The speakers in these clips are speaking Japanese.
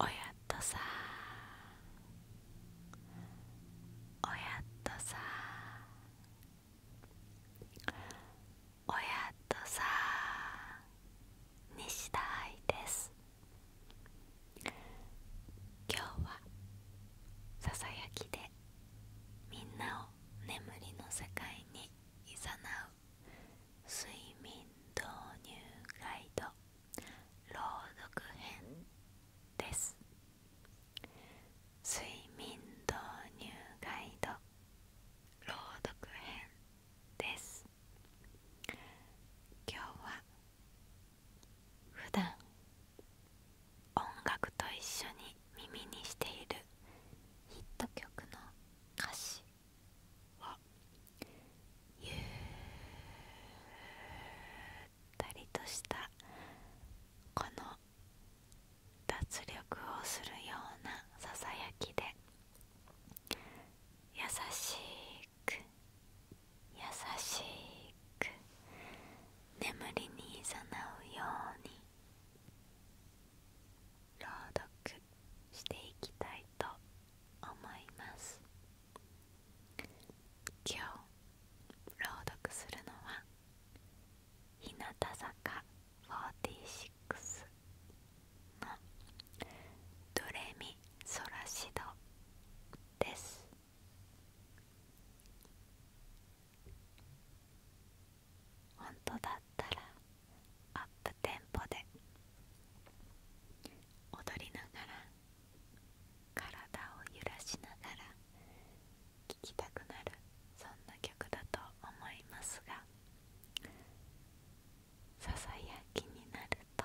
おやっとさおやっとさおやっとさ西田愛です今日はささやきでみんなを眠りの世界にいざなう睡眠導入ガイド朗読編です睡眠導入ガイド朗読編です今日は普段音楽と一緒に耳にしているヒット曲の歌詞をゆったりとしたこの脱力をするようなささやきで優しく優しく眠りにいざなうように朗読していきたいと思います今日朗読するのは日向坂46の「ドレミソラシド」です本当だったらアップテンポで踊りながら体を揺らしながら聴きたくなるそんな曲だと思いますがささやきになると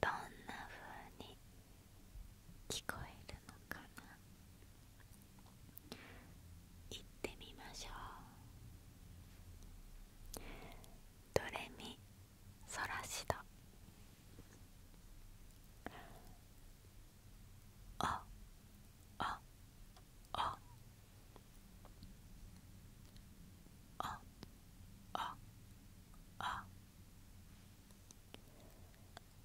どんな風に聞こえるのかな行ってみましょうドレミソラシドああああああ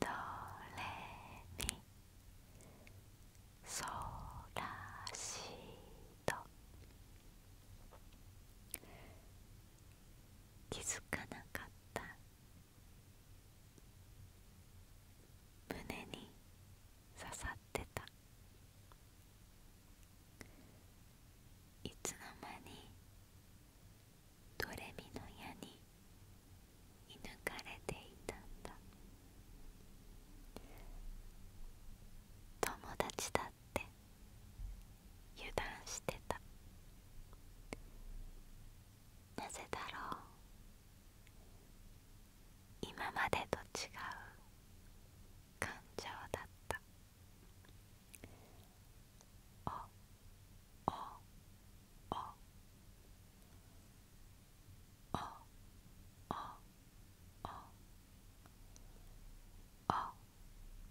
どれに。そらし。ド気づかなかった胸に刺さってたいつのまにドレミの矢に射ぬかれていたんだ友達だって油断してたなぜだろう今までと違う感情だったあああああああ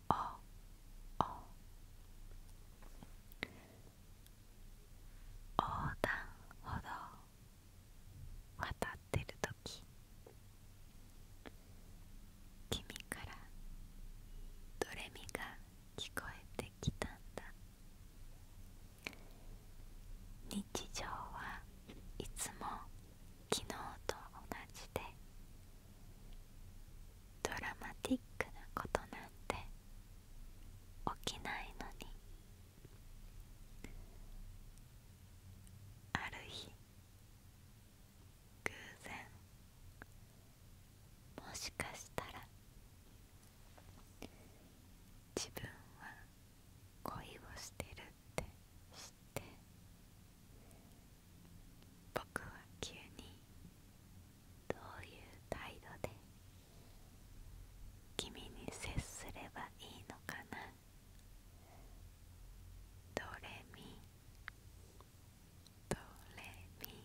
ああ横断歩道渡ってるとき君からどれみが聞こえてきたんだ日常はいつも昨日と同じでドラマティックなことなんて起きないのにある日偶然もしかしたら自分は恋をしてるって知って僕は急にどういう態度で君に接すればいいのかなどれみ。どれみ。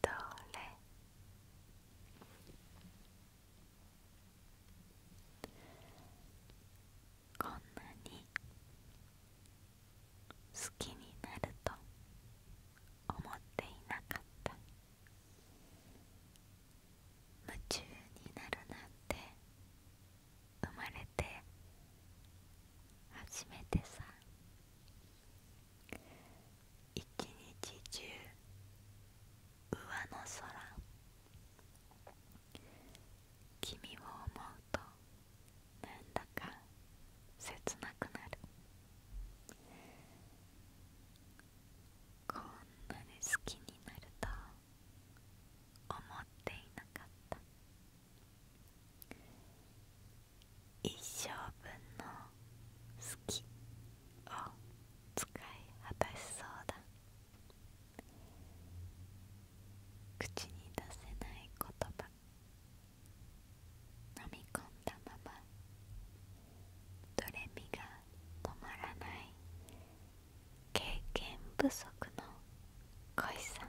どれ。こんなに好きになると思っていなかった夢中になるなんて生まれて初めてさ一日中上の空君を思うとなんだか切なくなるこんなに好きになると思っていなかった一生分の「好き」を使い果たしそうだ口に出せない言葉飲み込んだままどれみが止まらない経験不足の恋さ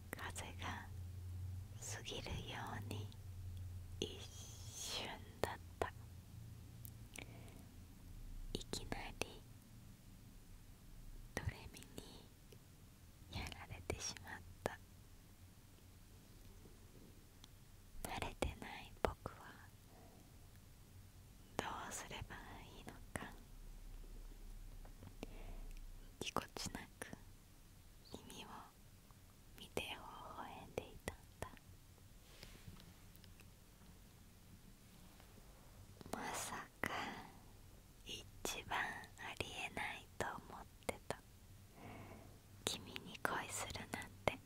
風が過ぎるように一瞬だったいきなりドレミにやられてしまった慣れてない僕はどうすればいいのかぎこちなく耳を見て微笑んでいたんだまさか一番ありえないと思ってた君に恋するなんて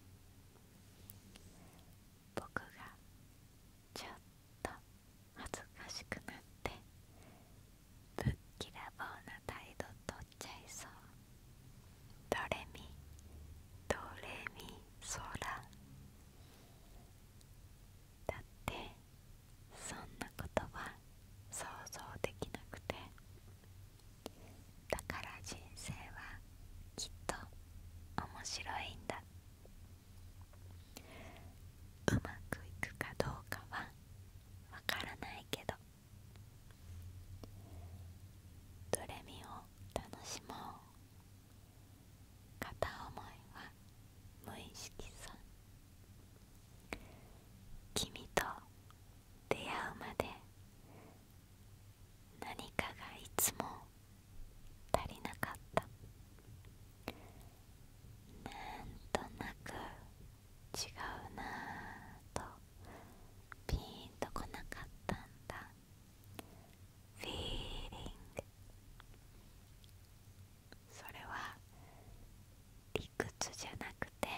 僕がちょっと恥ずかしくなってぶっきらぼうな態度とっちゃいそうドレミドレミソラだってそんなことは想像できなくてだから人生はきっと面白いんだうまくいくかどうかはわからないけどどれみを楽しもう片思いは無意識さ君と出会うまで何かがいつも足りなかったなんとなく違うなぁとピーンとこなかったんだフィーリングそれは理屈じゃなくて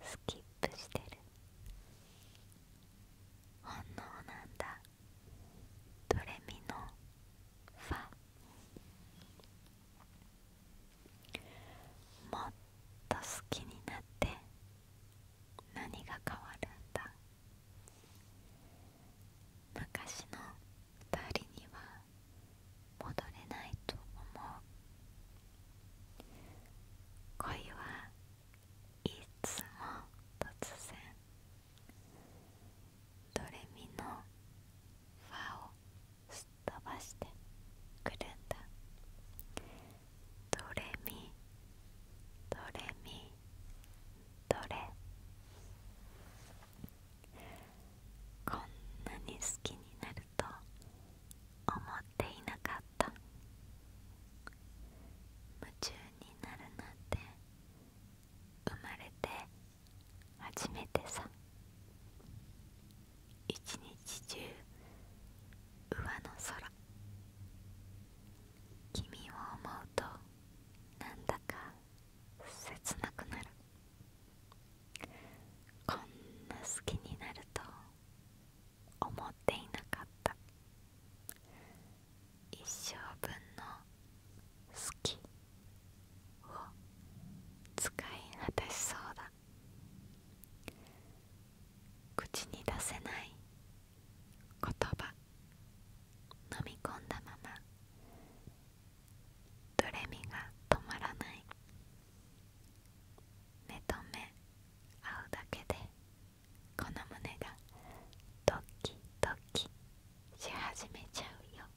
スキップしてる本能なんだドレミのファもっと好きになって何が変わるんだ昔の二人には戻れないと思う恋はいつも突然ドレミのファをすっ飛ばしてくれんだドレミドレミドこんなに好きになると思っていなかった夢中になるなんて生まれて初めてさ一日中上の空君を思うとなんだか切なくなるこんな好きになると思っていなかった一生分の好きを使い果たしそうだ口に出せない言葉飲み込んだままドレミが止まらない目と目合うだけでこの胸がドキドキし始めちゃうよ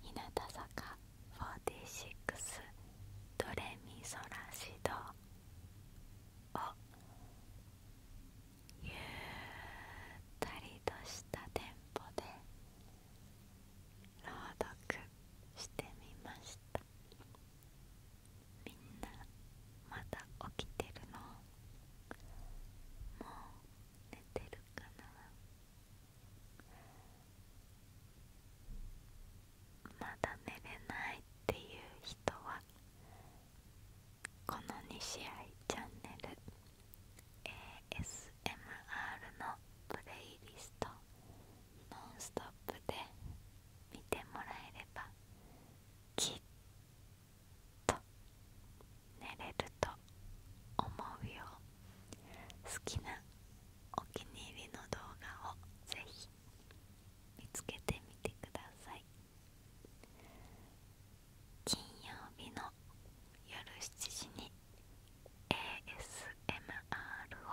日向坂46ドレミソラシドをゆったりとしたテンポで朗読してみましたみんなまだ起きてるのもう寝てるかなまだ寝れないっていう人はこの2試合チャンネル ASMR のプレイリスト「ノンストップ!」で見てもらえればきっと寝れると思うよ好きなお気に入りの動画をぜひ見つけてみてください金曜日の夜7時に ASMR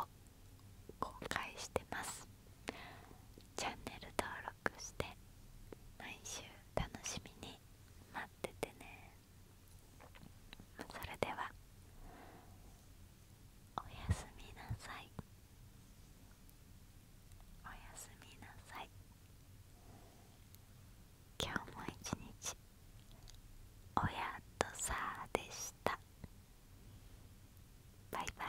を公開してますチャンネル登録して毎週楽しみに待っててねそれではおやすみなさいおやすみなさい今日も一日おやとさーでしたバイバイ